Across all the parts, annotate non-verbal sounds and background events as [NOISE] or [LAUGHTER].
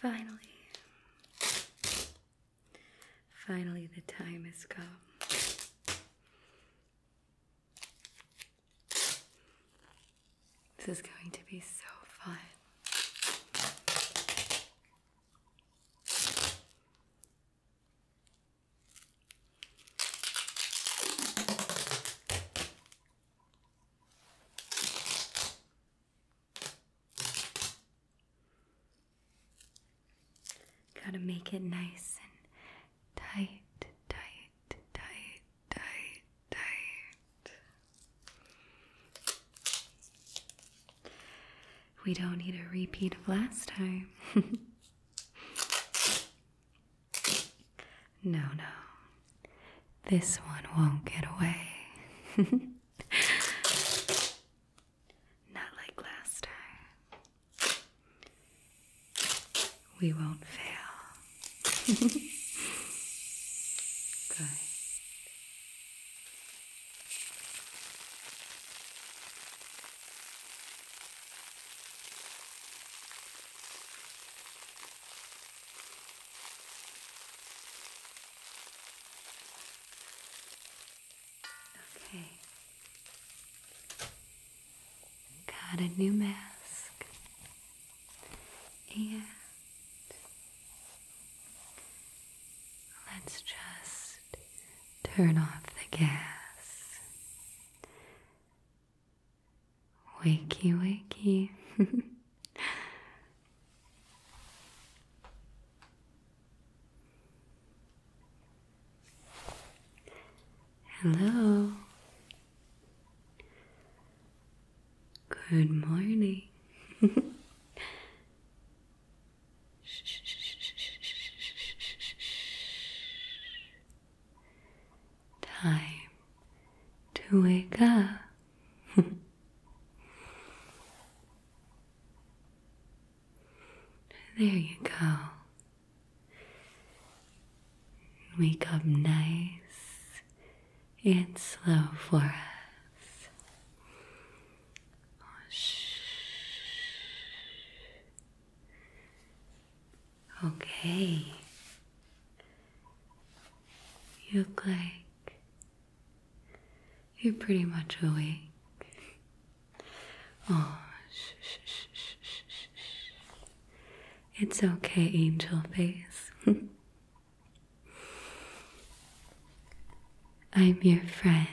Finally, finally, the time has come. This is going to be so fun. Gotta make it nice and tight, tight, tight, tight, tight. We don't need a repeat of last time. [LAUGHS] no, no. This one won't get away. [LAUGHS] Not like last time. We won't fail. [LAUGHS] Good. Okay. Got a new mask and let's just turn off the gas. Wakey, wakey. [LAUGHS] Hello. Good morning. Time to wake up. there you go. Wake up nice and slow for us. Okay. You look like you're pretty much awake. Oh, it's okay, angel face. [LAUGHS] I'm your friend.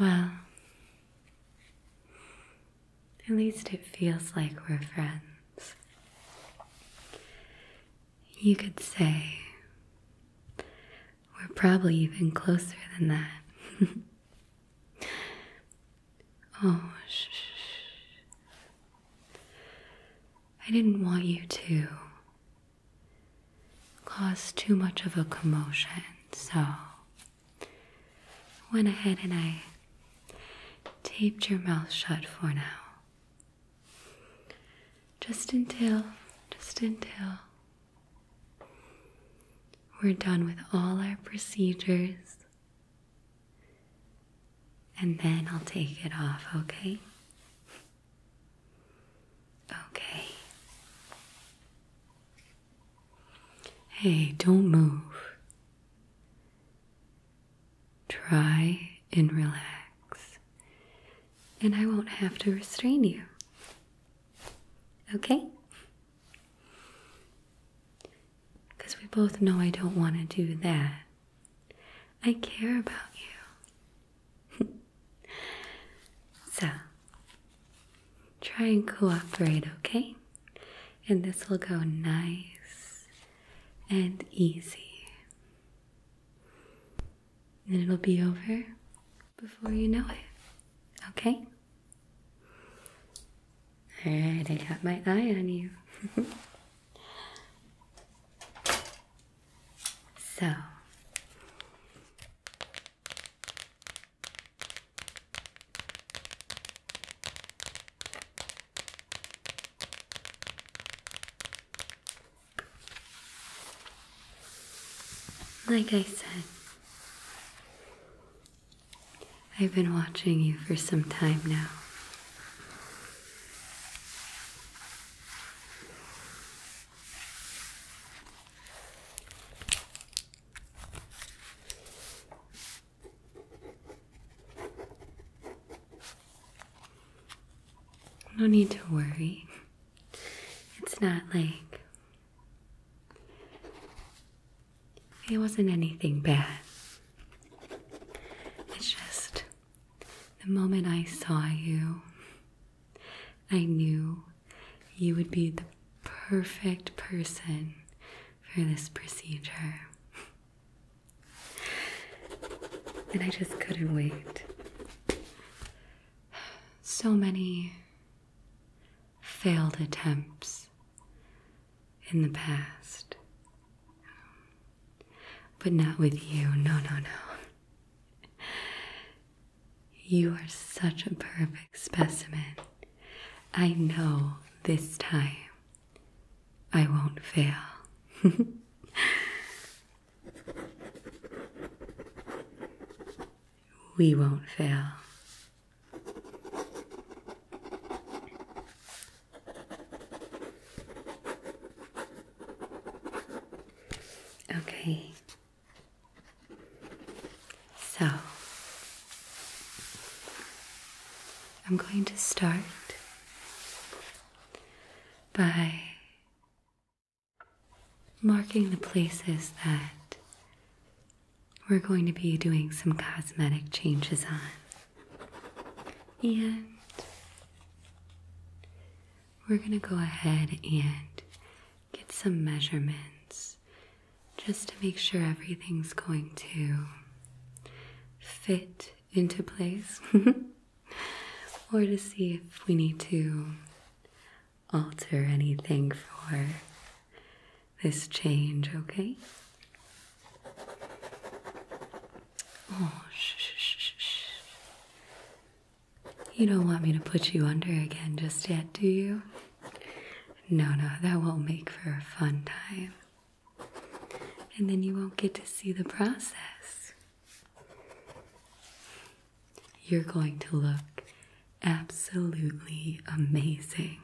Well, at least it feels like we're friends. You could say we're probably even closer than that. [LAUGHS] oh, shh. I didn't want you to cause too much of a commotion, so went ahead and I taped your mouth shut for now. Just until, just until we're done with all our procedures. And then I'll take it off, okay? Okay. Hey, don't move. Try and relax, and I won't have to restrain you. Okay? Because we both know I don't want to do that. I care about you. [LAUGHS] so, try and cooperate, okay? And this will go nice and easy. And it'll be over before you know it, okay? All right, I got my eye on you. [LAUGHS] so. Like I said, I've been watching you for some time now. No need to worry. It's not like it wasn't anything bad. It's just the moment I saw you, I knew you would be the perfect person for this procedure. And I just couldn't wait. So many failed attempts in the past. But not with you. No, no, no. You are such a perfect specimen. I know this time I won't fail. [LAUGHS] we won't fail. Okay. So I'm going to start by marking the places that we're going to be doing some cosmetic changes on. And we're going to go ahead and get some measurements just to make sure everything's going to fit into place [LAUGHS] or to see if we need to alter anything for this change, okay? Oh, shh, shh, shh, shh. You don't want me to put you under again just yet, do you? No, no, that won't make for a fun time. And then you won't get to see the process. You're going to look absolutely amazing.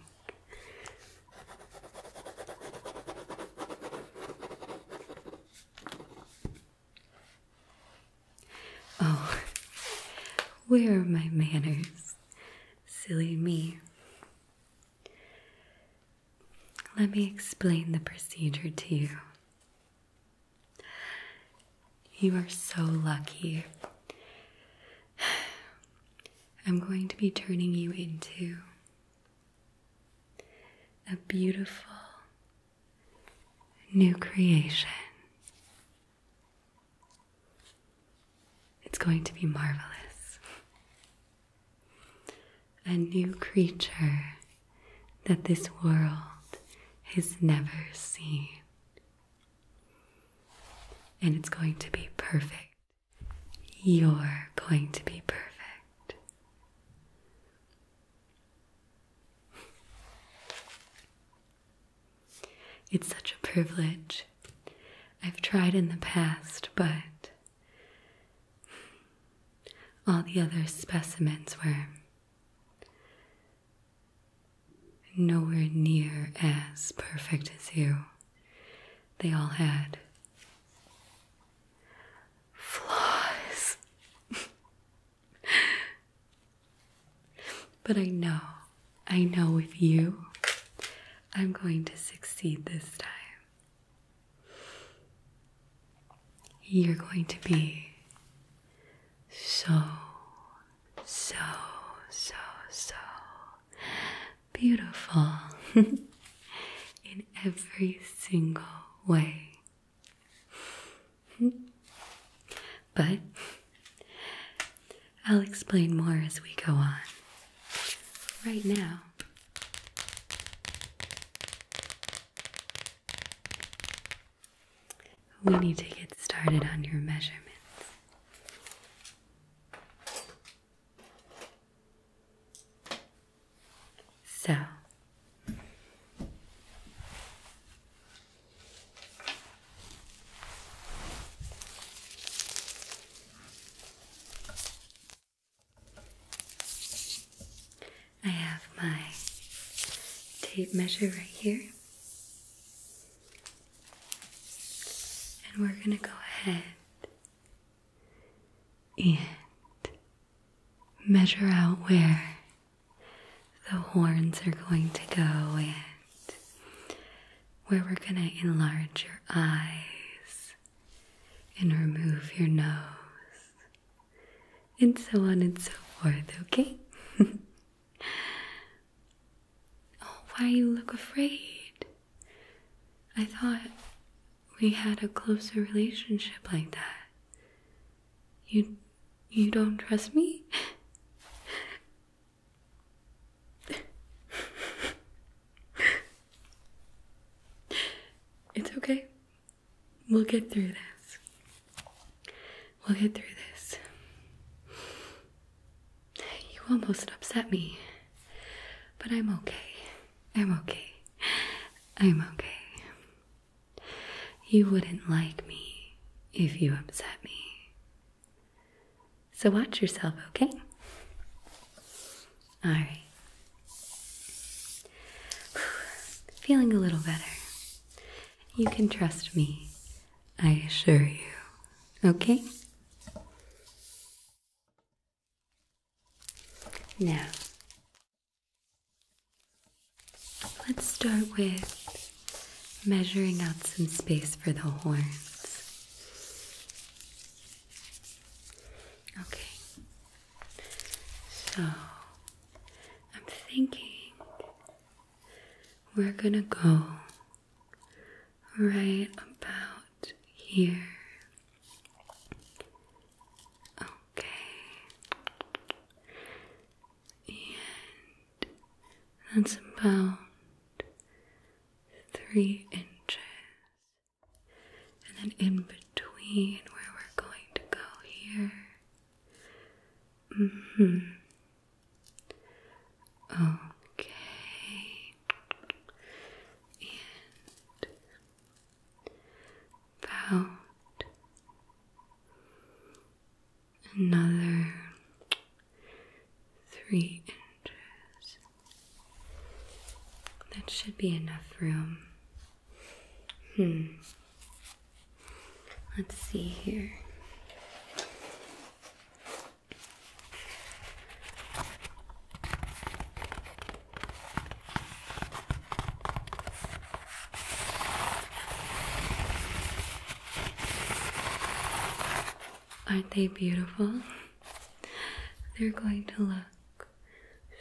Oh, where are my manners? Silly me. Let me explain the procedure to you. You are so lucky. I'm going to be turning you into a beautiful new creation. It's going to be marvelous. A new creature that this world has never seen and it's going to be perfect. You're going to be perfect. It's such a privilege. I've tried in the past, but all the other specimens were nowhere near as perfect as you. They all had flaws. [LAUGHS] but I know, I know with you, I'm going to succeed this time. You're going to be so so, so, so beautiful [LAUGHS] in every single way. [LAUGHS] but I'll explain more as we go on. Right now, we need to get started on your measurements. So, I have my tape measure right here. And we're going to go ahead and measure out where the horns are going to go and where we're going to enlarge your eyes and remove your nose and so on and so forth, okay? [LAUGHS] Oh, why you look afraid? I thought we had a closer relationship like that. You you don't trust me? [LAUGHS] it's okay. We'll get through this. We'll get through this. [SIGHS] You almost upset me, but I'm okay. I'm okay. I'm okay. You wouldn't like me if you upset me. So watch yourself, okay? Alright. [SIGHS] Feeling a little better. You can trust me I assure you. Okay? Now, let's start with measuring out some space for the horns. Okay, so I'm thinking we're gonna go right about here. Okay. And that's about three inches. And then in between where we're going to go here. hmm Okay, and about another three inches. That should be enough room. Hmm. Let's see here. Aren't they beautiful? They're going to look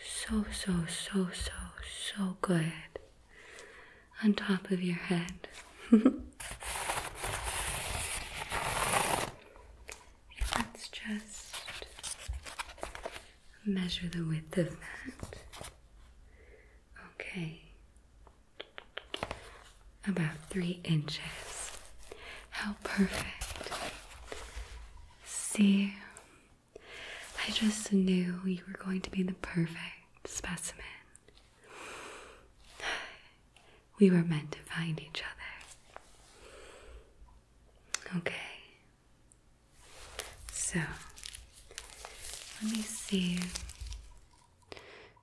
so, so, so, so, so good on top of your head. Let's just measure the width of that. Okay, about three inches. How perfect. See, I just knew you were going to be the perfect specimen. We were meant to find each other. Okay. So, let me see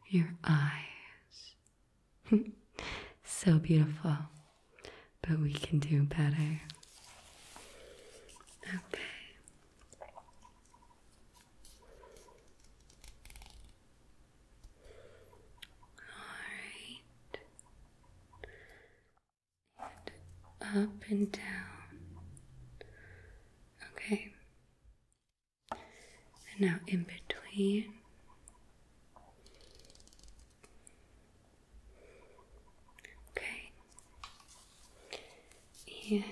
your eyes. [LAUGHS] so beautiful. But we can do better. Okay. All right. And up and down. Okay. And now in between. Okay. And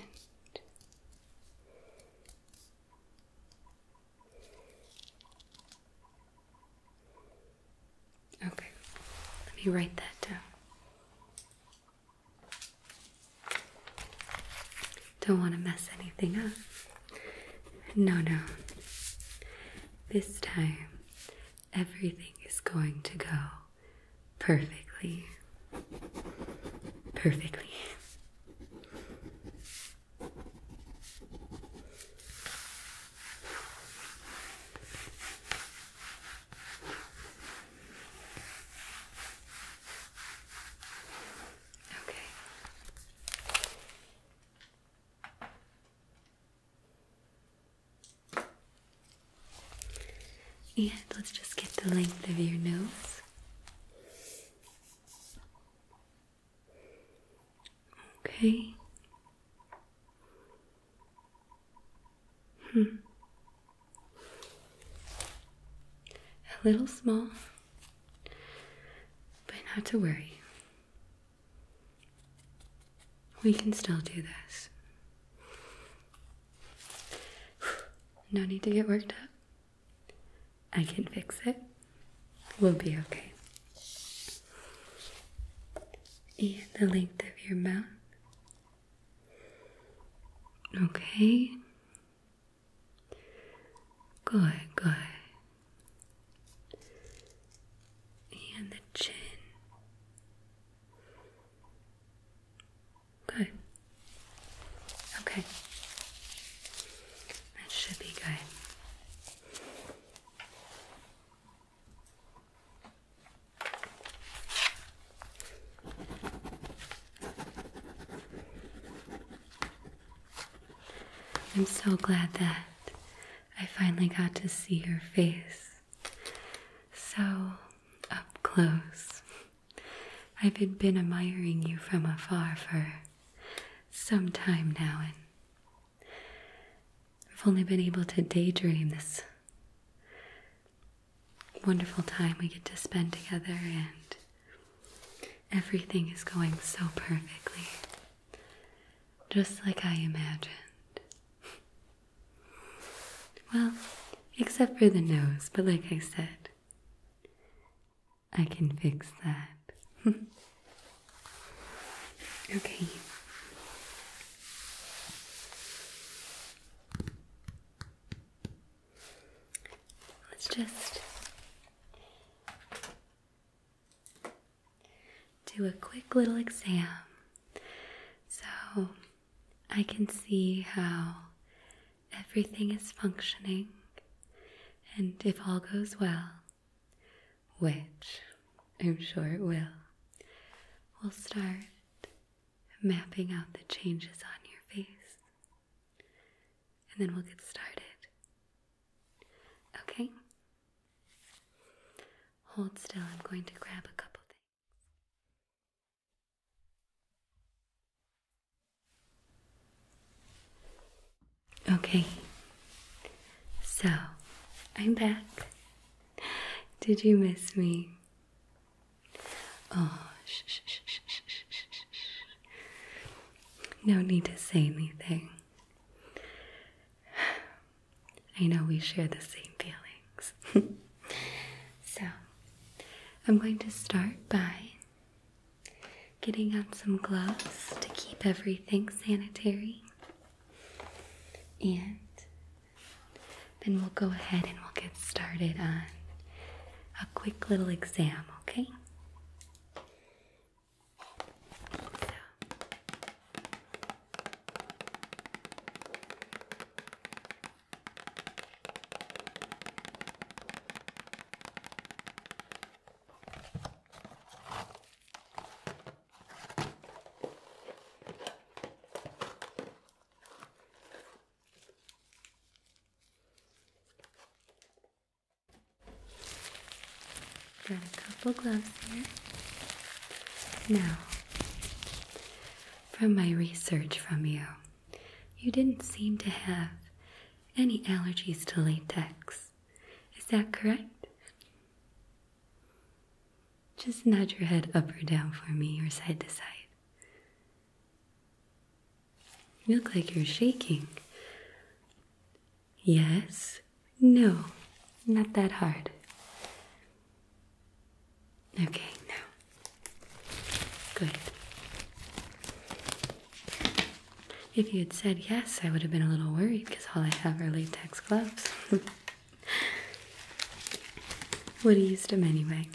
Okay, let me write that down. Don't want to mess anything up. No, no. This time, everything is going to go perfectly. Perfectly. Okay. And let's just get the length of your nose. Okay. Hmm. A little small, but not to worry. We can still do this. [SIGHS] No need to get worked up. I can fix it. We'll be okay. And the length of your mouth. Okay. Good, good. And the chin. Good. Okay. That should be good. I'm so glad that I finally got to see your face so up close. I've been admiring you from afar for some time now, and I've only been able to daydream this wonderful time we get to spend together, and everything is going so perfectly, just like I imagined. Well, except for the nose, but like I said, I can fix that. [LAUGHS] okay. Let's just do a quick little exam so I can see how everything is functioning and if all goes well, which I'm sure it will, we'll start mapping out the changes on your face. And then we'll get started. Okay? Hold still, I'm going to grab a couple. things. Okay, so I'm back. Did you miss me? Oh, shh, shh, shh, shh, shh, shh, No need to say anything. [SIGHS] I know we share the same feelings. [LAUGHS] so, I'm going to start by Getting on some gloves to keep everything sanitary. And then we'll go ahead and we'll get started on a quick little exam, okay? Got a couple gloves here. Now, from my research from you, you didn't seem to have any allergies to latex. Is that correct? Just nod your head up or down for me, or side to side. You look like you're shaking. Yes, no, not that hard. Okay, now. Good. If you had said yes, I would have been a little worried because all I have are latex gloves. [LAUGHS] would have use them anyway.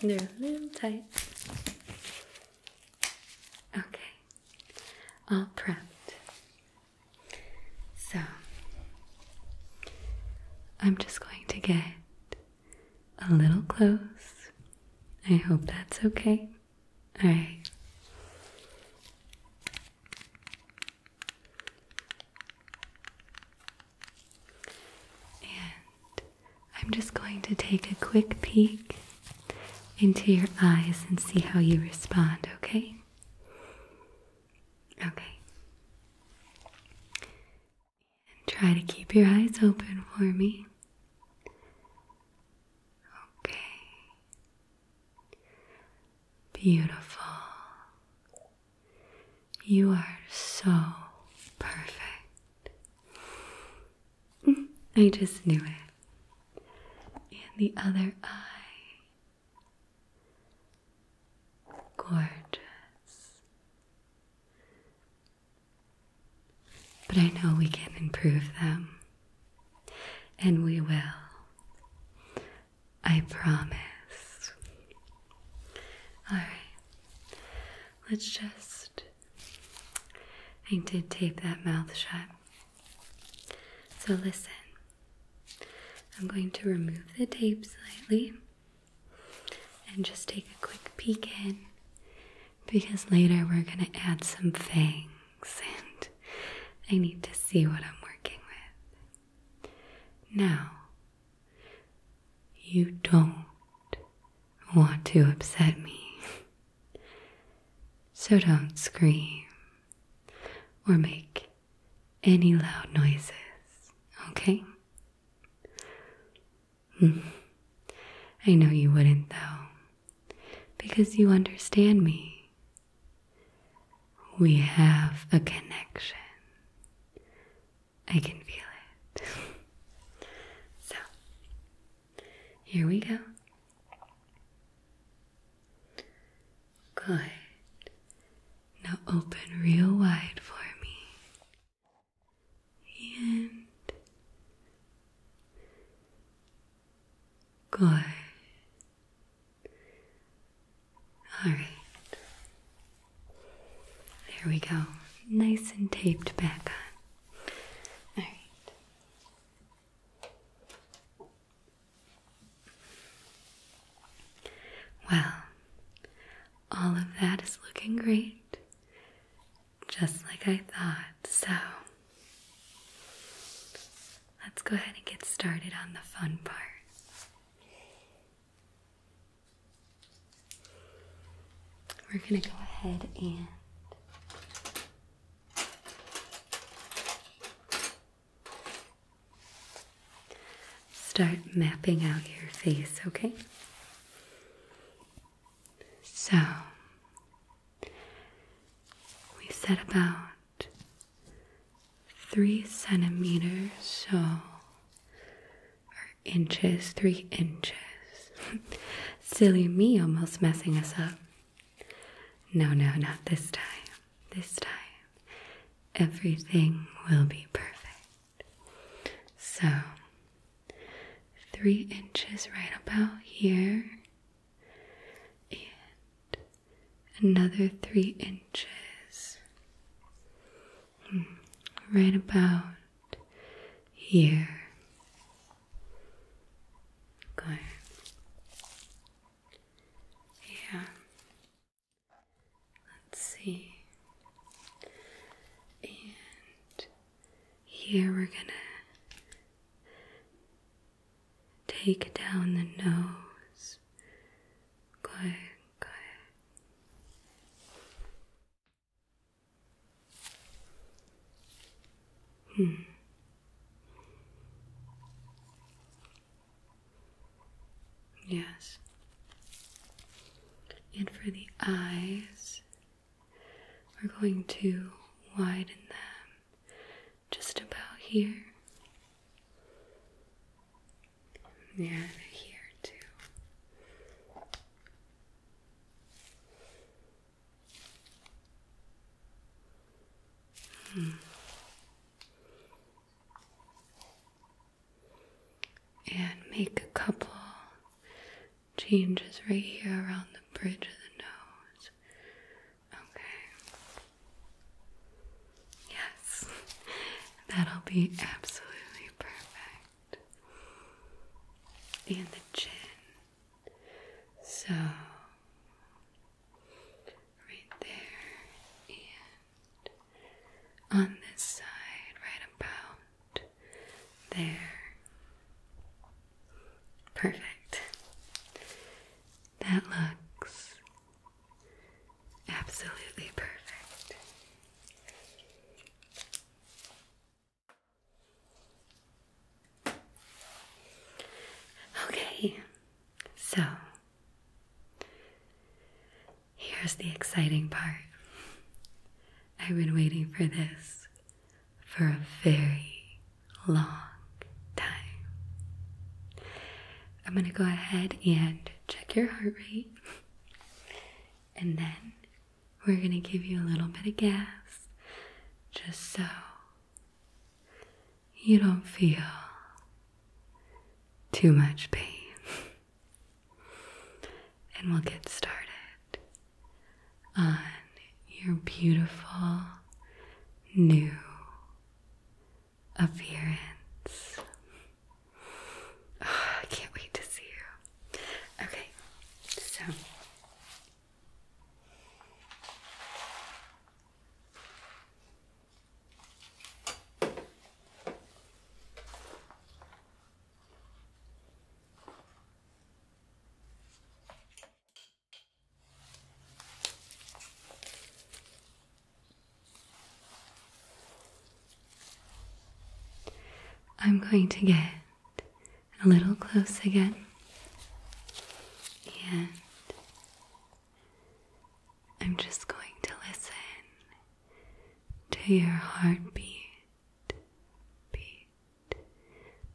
They're a little tight. Okay, all prepped. So, I'm just going to get a little close. I hope that's okay. Alright. And I'm just going to take a quick peek into your eyes and see how you respond, okay? Okay. And try to keep your eyes open for me. Okay. Beautiful. You are so perfect. [LAUGHS] I just knew it. And the other eye. Gorgeous. But I know we can improve them. And we will. I promise. Alright, let's just. I did tape that mouth shut. So listen, I'm going to remove the tape slightly and just take a quick peek in because later we're going to add some fangs and I need to see what I'm working with. Now, you don't want to upset me, so don't scream or make any loud noises, okay? Hmm. I know you wouldn't, though, because you understand me. We have a connection. I can feel it. so, here we go. Good. Now open real wide for me. And good. All right. There we go. Nice and taped back on. All right. Well, all of that is looking great. Just like I thought. So, let's go ahead and get started on the fun part. We're going to go ahead and start mapping out your face, okay? So, we said about three centimeters, so or inches, three inches. [LAUGHS] Silly me almost messing us up. No, no, not this time. This time, everything will be perfect. So, three inches right about here, and another three inches right about here. Good. Yeah. Let's see. And here we're gonna take down the nose. Good. Okay. Hmm. Yes. And for the eyes, we're going to widen them just about here. Yeah, here too. Hmm. And make a couple changes right here around the bridge of the nose. Okay. Yes, [LAUGHS] that'll be absolutely perfect. And the chin. So, right there, and on this side, right about there. Perfect. That looks absolutely perfect. Okay, so here's the exciting part. I've been waiting for this for a very long time. I'm going to go ahead and check your heart rate and then we're going to give you a little bit of gas just so you don't feel too much pain. [LAUGHS] and we'll get started on your beautiful new appearance. [SIGHS] I can't wait to see you. Okay, so I'm going to get a little close again and I'm just going to listen to your heartbeat, beat,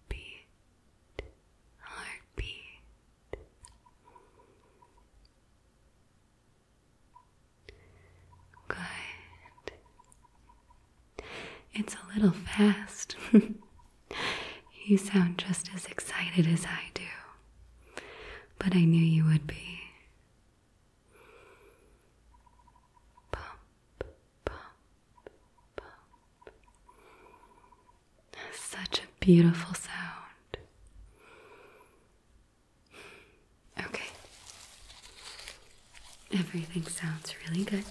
beat, heartbeat. Good. It's a little fast. [LAUGHS] you sound just as excited as I do, but I knew you would be. Pump, pump, pump. Such a beautiful sound. Okay. Everything sounds really good.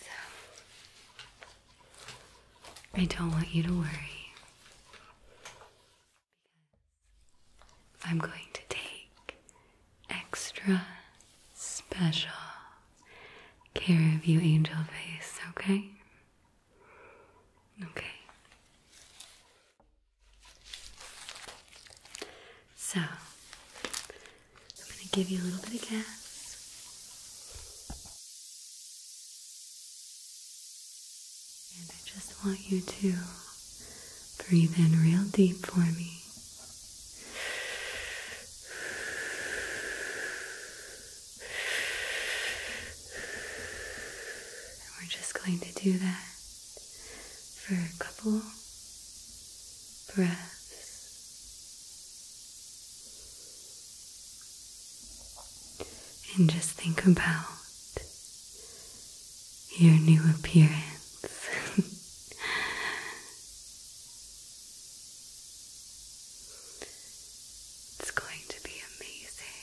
So, I don't want you to worry. I'm going to take extra special care of you, Angel Face, okay? Okay. So, I'm going to give you a little bit of gas. And I just want you to breathe in real deep for me we're just going to do that for a couple breaths. And just think about your new appearance. [LAUGHS] It's going to be amazing.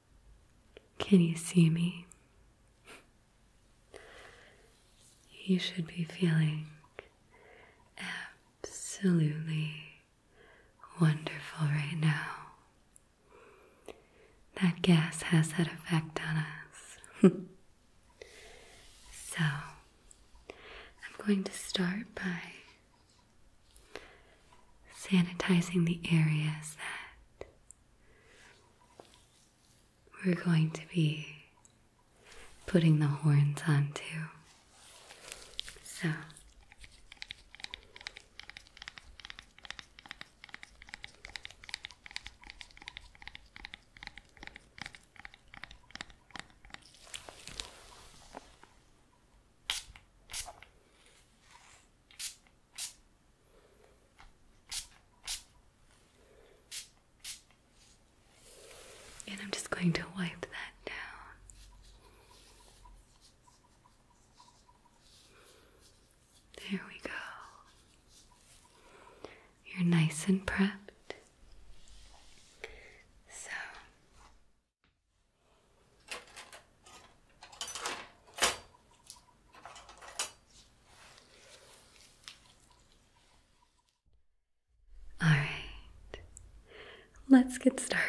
Can you see me? You should be feeling absolutely wonderful right now. That gas has that effect on us. [LAUGHS] so, I'm going to start by sanitizing the areas that we're going to be putting the horns onto. So, and I'm just going to wipe that down. There we go. You're nice and prepped. So. All right, let's get started.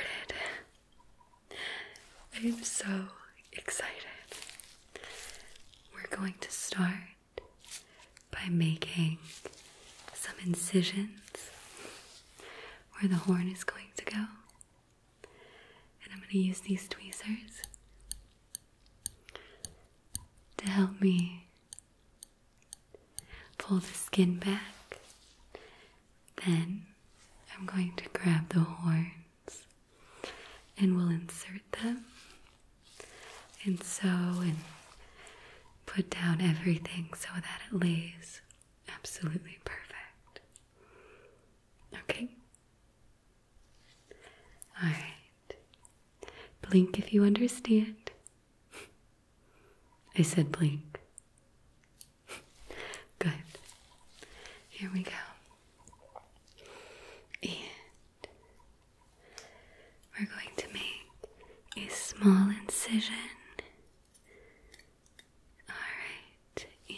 I'm so excited. We're going to start by making some incisions where the horn is going to go. And I'm going to use these tweezers to help me pull the skin back. Then I'm going to grab the horns and we'll insert them and sew and put down everything so that it lays absolutely perfect. Okay? Alright. Blink if you understand. I said blink. Good. Here we go. And we're going to make a small incision Alright, and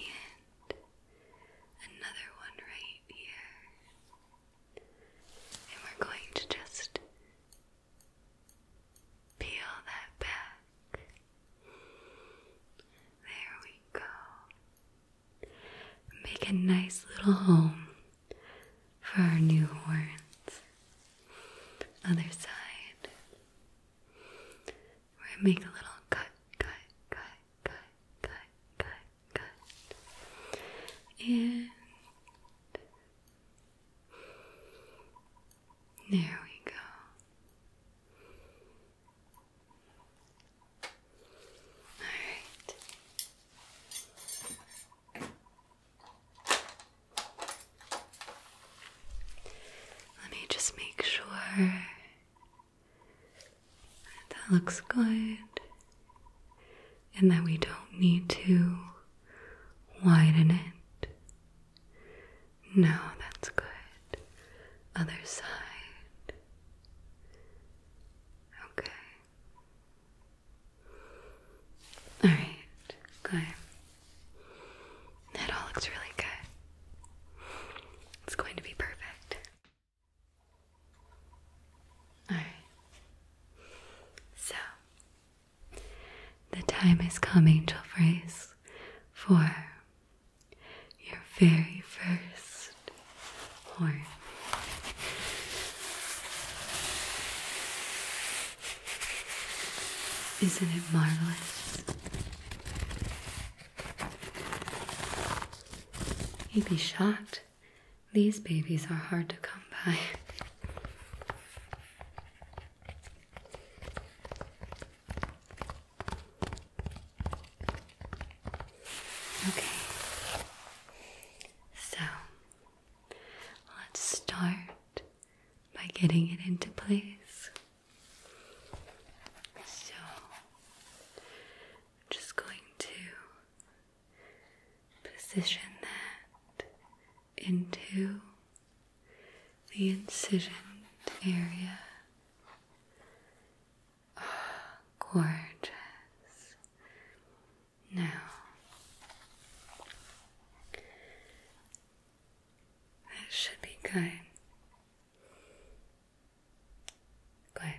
another one right here. And we're going to just peel that back. There we go. Make a nice little home for our new horns. Other side where I make a little cut, cut, cut, cut, cut, cut, cut, and there we go. All right. Let me just make sure that looks good. And that we don't need to widen it. No, that's good. Other side. Okay. Alright, good. That all looks really good. It's going to be perfect. Alright. So, the time is come, angel phrase, for your very first horn. Isn't it marvelous? You'd be shocked. These babies are hard to come by. Okay, so let's start by getting it into place. So, just going to position that into the incision area. gorgeous. Now, that should be good. Okay.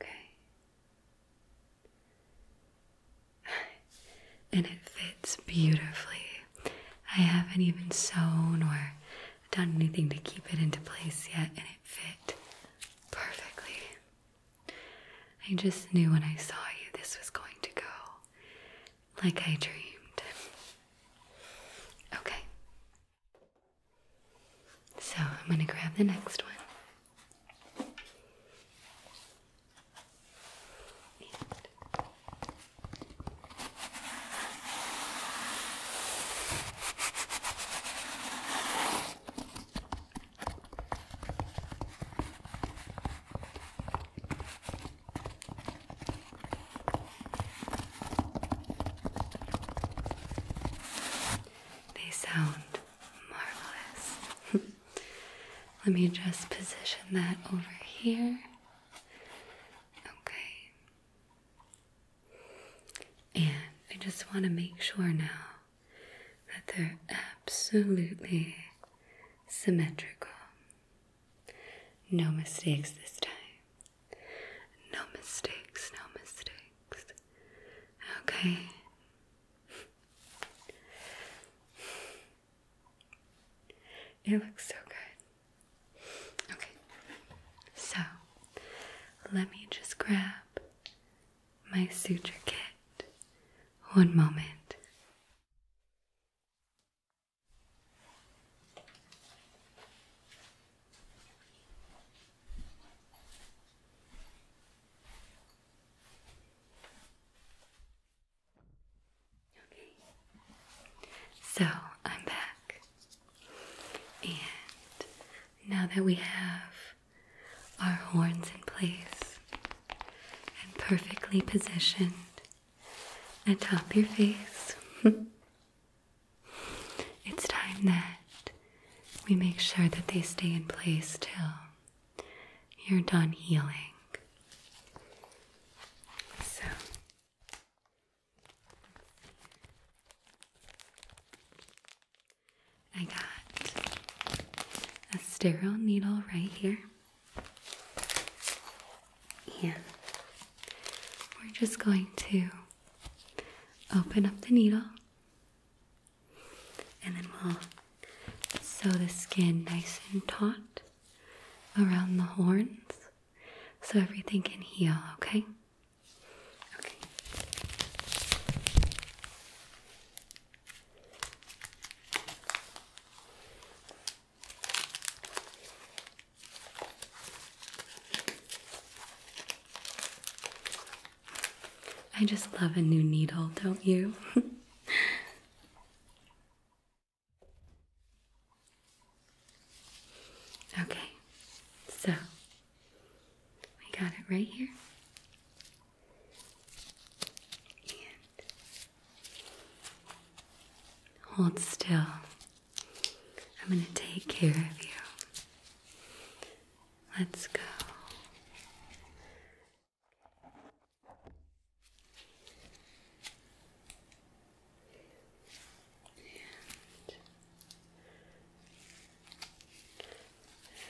Okay. [LAUGHS] and it fits beautifully. I haven't even sewn or done anything to keep it into place yet, and it fit perfectly. I just knew when I saw you this was going to go like I dreamed. Okay. So I'm going to grab the next one. They sound marvelous. [LAUGHS] Let me just position that over here. Okay. And I just want to make sure now that they're absolutely symmetrical. No mistakes this time. No mistakes, no mistakes. Okay. It looks so good. Okay, so let me just grab my suture kit. One moment so I'm back, and now that we have our horns in place and perfectly positioned atop your face, [LAUGHS] It's time that we make sure that they stay in place till you're done healing. So, I got a sterile needle right here and we're just going to open up the needle and then we'll sew the skin nice and taut around the horns so everything can heal, okay? Okay. I just love a new needle, don't you? [LAUGHS] okay, so we got it right here. hold still I'm going to take care of you. Let's go.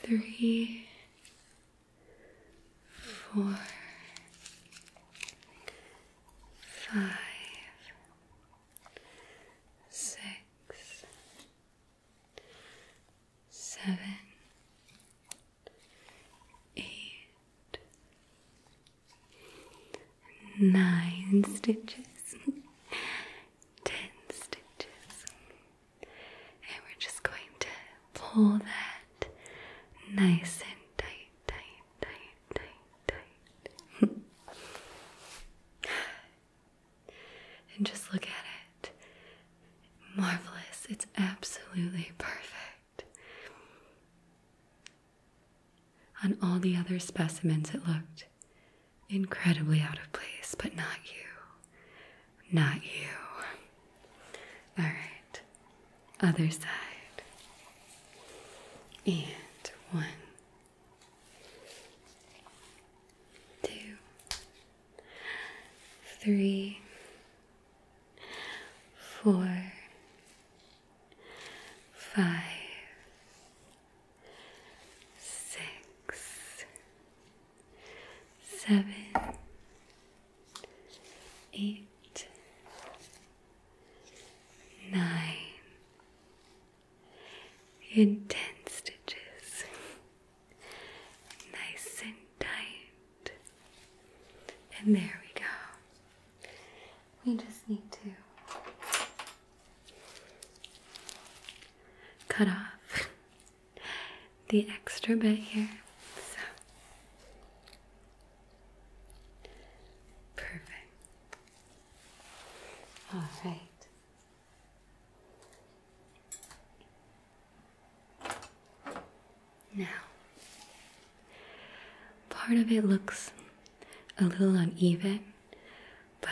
three, four, five six, seven, eight, [LAUGHS] nine stitches, [LAUGHS] ten stitches, and we're just going to pull that nice and tight tight, tight, tight, tight, [LAUGHS] and just look at it. Marvelous. It's absolutely perfect. On all the other specimens, it looked incredibly out of place, but not you. Not you. All right, other side. And one, two, three, four, five, six, seven, eight, nine in ten stitches, nice and tight. And there we go. We just need to cut off the extra bit here. So perfect. All right. Now, part of it looks a little uneven, but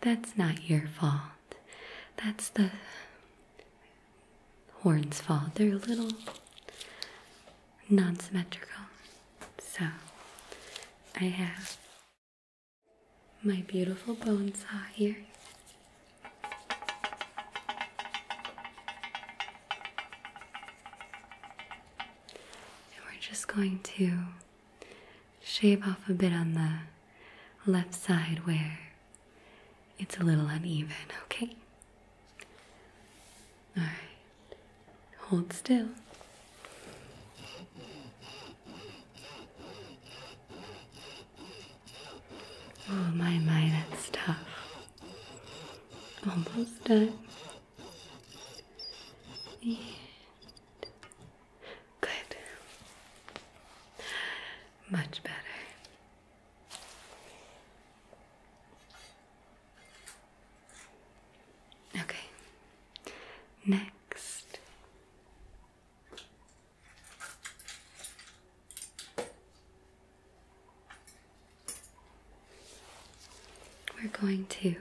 that's not your fault. That's the horn's fault. They're a little non-symmetrical. So I have my beautiful bone saw here. And we're just going to shave off a bit on the left side where it's a little uneven, okay? All right. Hold still. Oh, my, my, that's tough. Almost done. good. Much better. Okay. Next. We're going to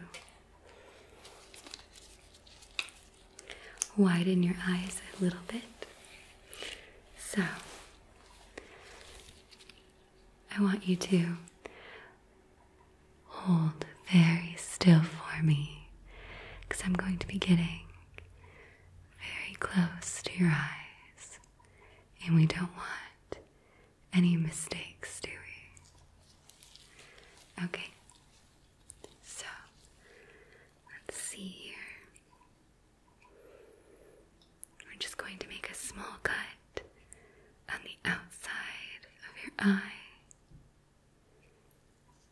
widen your eyes a little bit. So, I want you to Hold very still for me because I'm going to be getting very close to your eyes, and we don't want any mistakes, do we? Okay, so let's see here. We're just going to make a small cut on the outside of your eye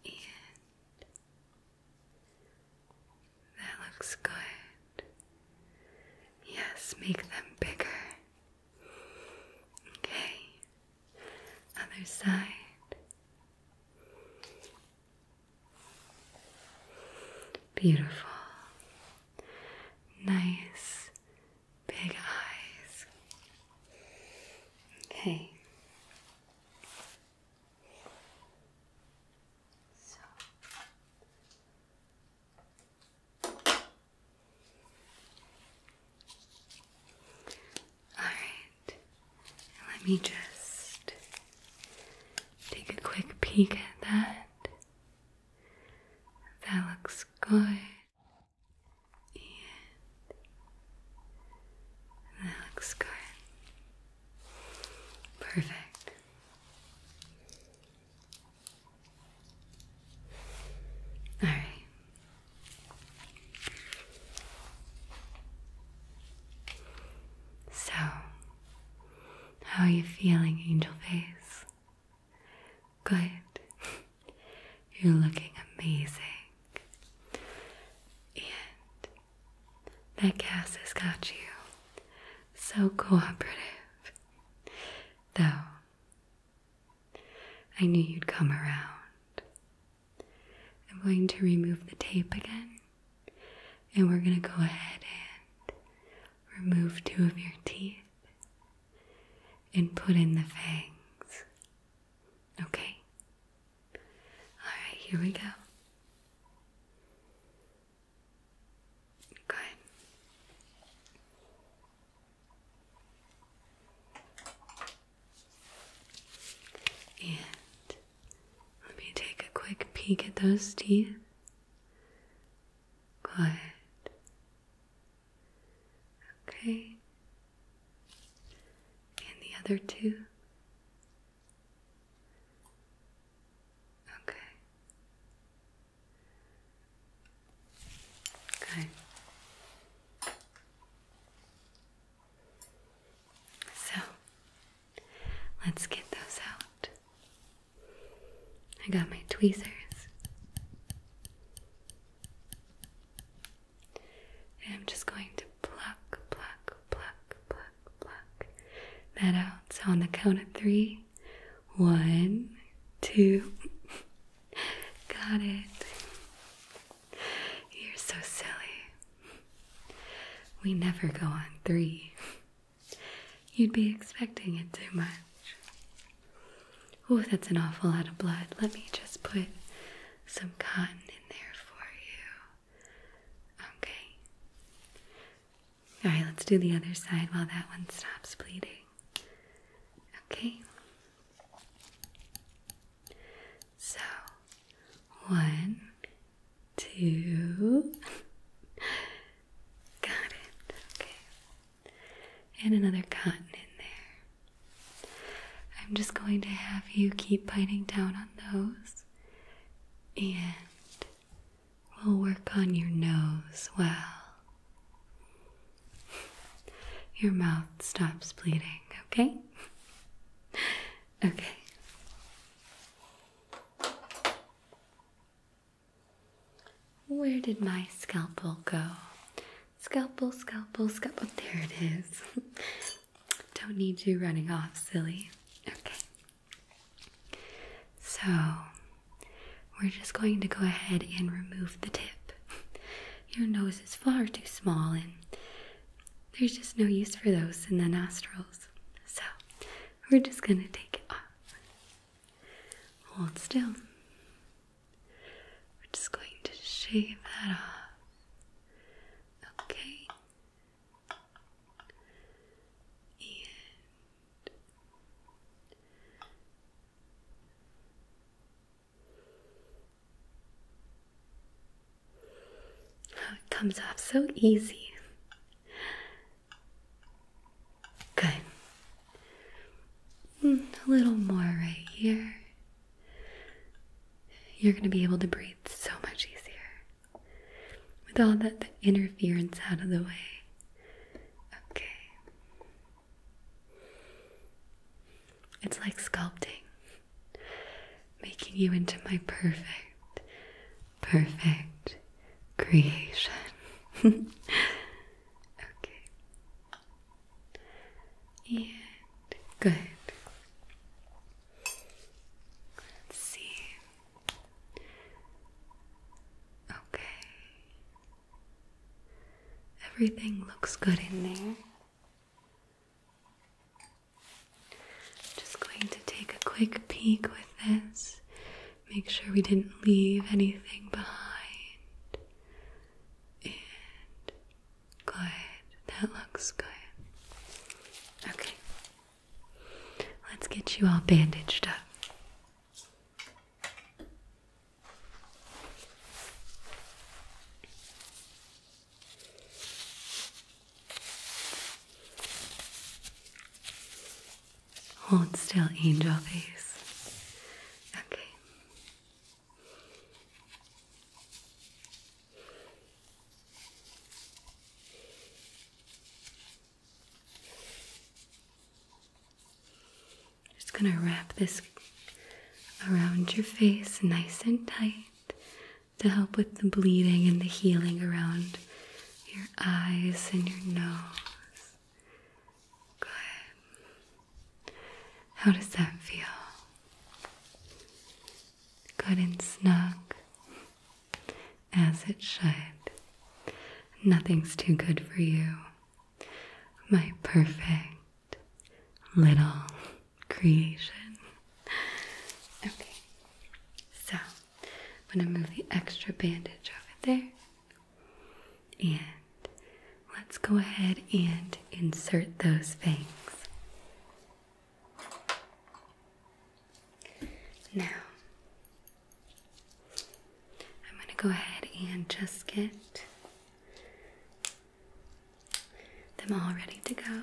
and that looks good. Yes, make them bigger. Okay, other side. Beautiful, nice big eyes. Okay. So. All right. Let me just take a quick peek at that. That looks good and that looks good. Perfect. All right. So, how are you feeling, angel face? Good. [LAUGHS] You're looking amazing. And that gas has got you so cooperative. Though, I knew you'd come around. I'm going to remove the tape again, and we're going to go ahead and remove two of your teeth and put in the fangs. Okay? Alright, here we go. Good. And let me take a quick peek at those teeth. Good. Okay. And the other two? Okay. Okay. So, let's get those out. I got my tweezers. And I'm just going to pluck, pluck, pluck, pluck, pluck that out. So on the count of three, one, two, [LAUGHS] got it. You're so silly. We never go on three. You'd be expecting it too much. Oh, that's an awful lot of blood. Let me just put some cotton in there for you. Okay. All right, let's do the other side while that one stops bleeding. Okay. So, one, two. [LAUGHS] Got it. Okay and another cotton in there. I'm just going to have you keep biting down on those, and we'll work on your nose well. Your mouth stops bleeding, okay? Okay. Where did my scalpel go? Scalpel, scalpel, scalpel. There it is. [LAUGHS] Don't need you running off, silly. Okay. So, we're just going to go ahead and remove the tip. [LAUGHS] Your nose is far too small, and there's just no use for those in the nostrils. So, we're just going to take it off. Hold still. We're just going to shave that off. Okay. And it comes off so easy. Good. Hmm, a little more right here. You're going to be able to breathe so much easier with all that interference out of the way. Okay. It's like sculpting, making you into my perfect, perfect creation. [LAUGHS] okay. And good. see. Okay. Everything looks good in there. Just going to take a quick peek with this. Make sure we didn't leave anything behind. And good. That looks good. Okay. Let's get you all bandaged up. Hold still, angel face. Okay. Just going to wrap this around your face nice and tight to help with the bleeding and the healing around your eyes and your nose. Good. How does that feel? Good and snug, as it should. Nothing's too good for you. My perfect little creation. Okay, so I'm going to move the extra bandage over there and let's go ahead and insert those fangs. Now, I'm going to go ahead and just get them all ready to go.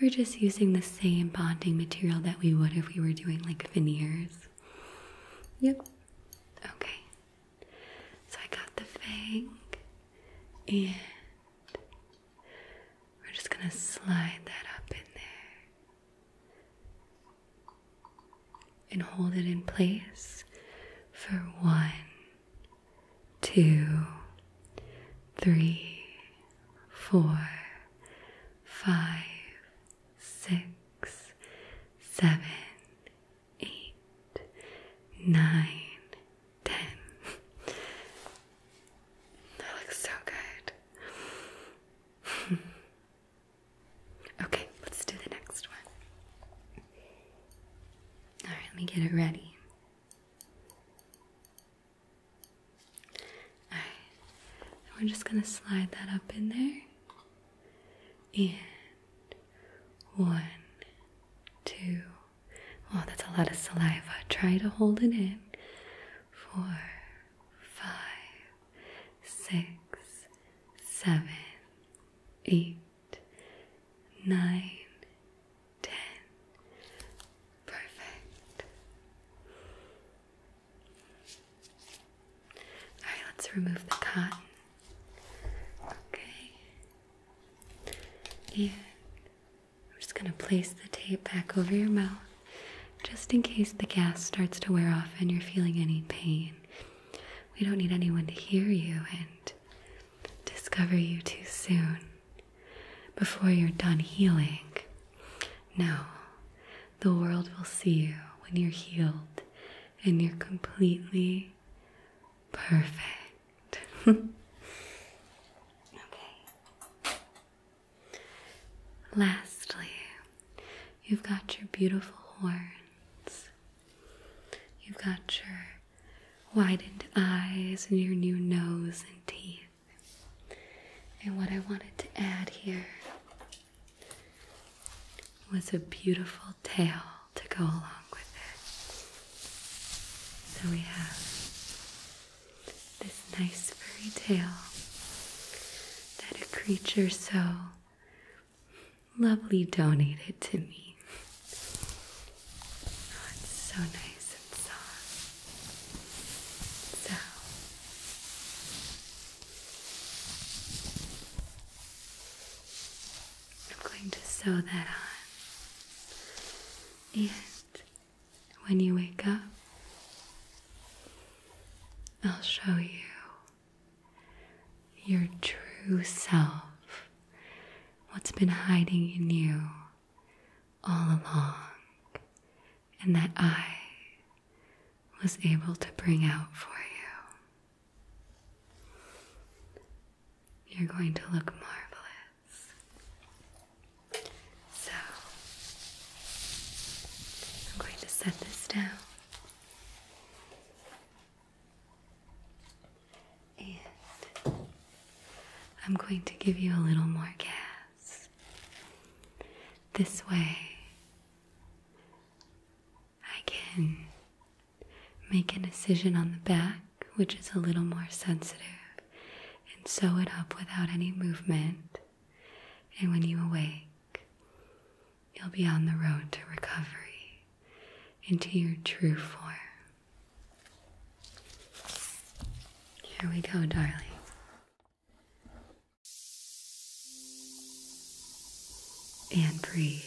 We're just using the same bonding material that we would if we were doing like veneers. Yep. Okay. So I got the fang and we're just going to slide that up in there and hold it in place for one, two, three, four, five, six, seven, eight, nine, ten. That looks so good. [LAUGHS] okay, let's do the next one. Alright, let me get it ready we're just going to slide that up in there. And one, two. Oh, that's a lot of saliva. Try to hold it in. Four, five, six, seven, eight, nine, ten. Perfect. Alright, let's remove the cotton. Okay. And I'm just going to place the tape back over your mouth just in case the gas starts to wear off and you're feeling any pain. We don't need anyone to hear you and discover you too soon before you're done healing. No, the world will see you when you're healed and you're completely perfect. [LAUGHS] okay. Lastly, you've got your beautiful horns. You've got your widened eyes and your new nose and teeth. And what I wanted to add here was a beautiful tail to go along with it. So we have this nice furry tail that a creature so lovely donated to me. Oh, it's so nice and soft. So I'm going to sew that on. And when you wake up, I'll show you your true self, what's been hiding in you all along, and that I was able to bring out for you. You're going to look marvelous. So, I'm going to set this down. And I'm going to give you a little more gas. This way, I can make a decision on the back, which is a little more sensitive, and sew it up without any movement. And when you awake, you'll be on the road to recovery into your true form. Here we go, darling. And breathe.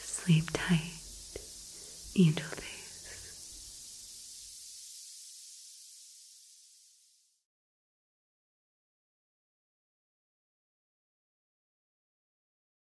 Sleep tight, angel face.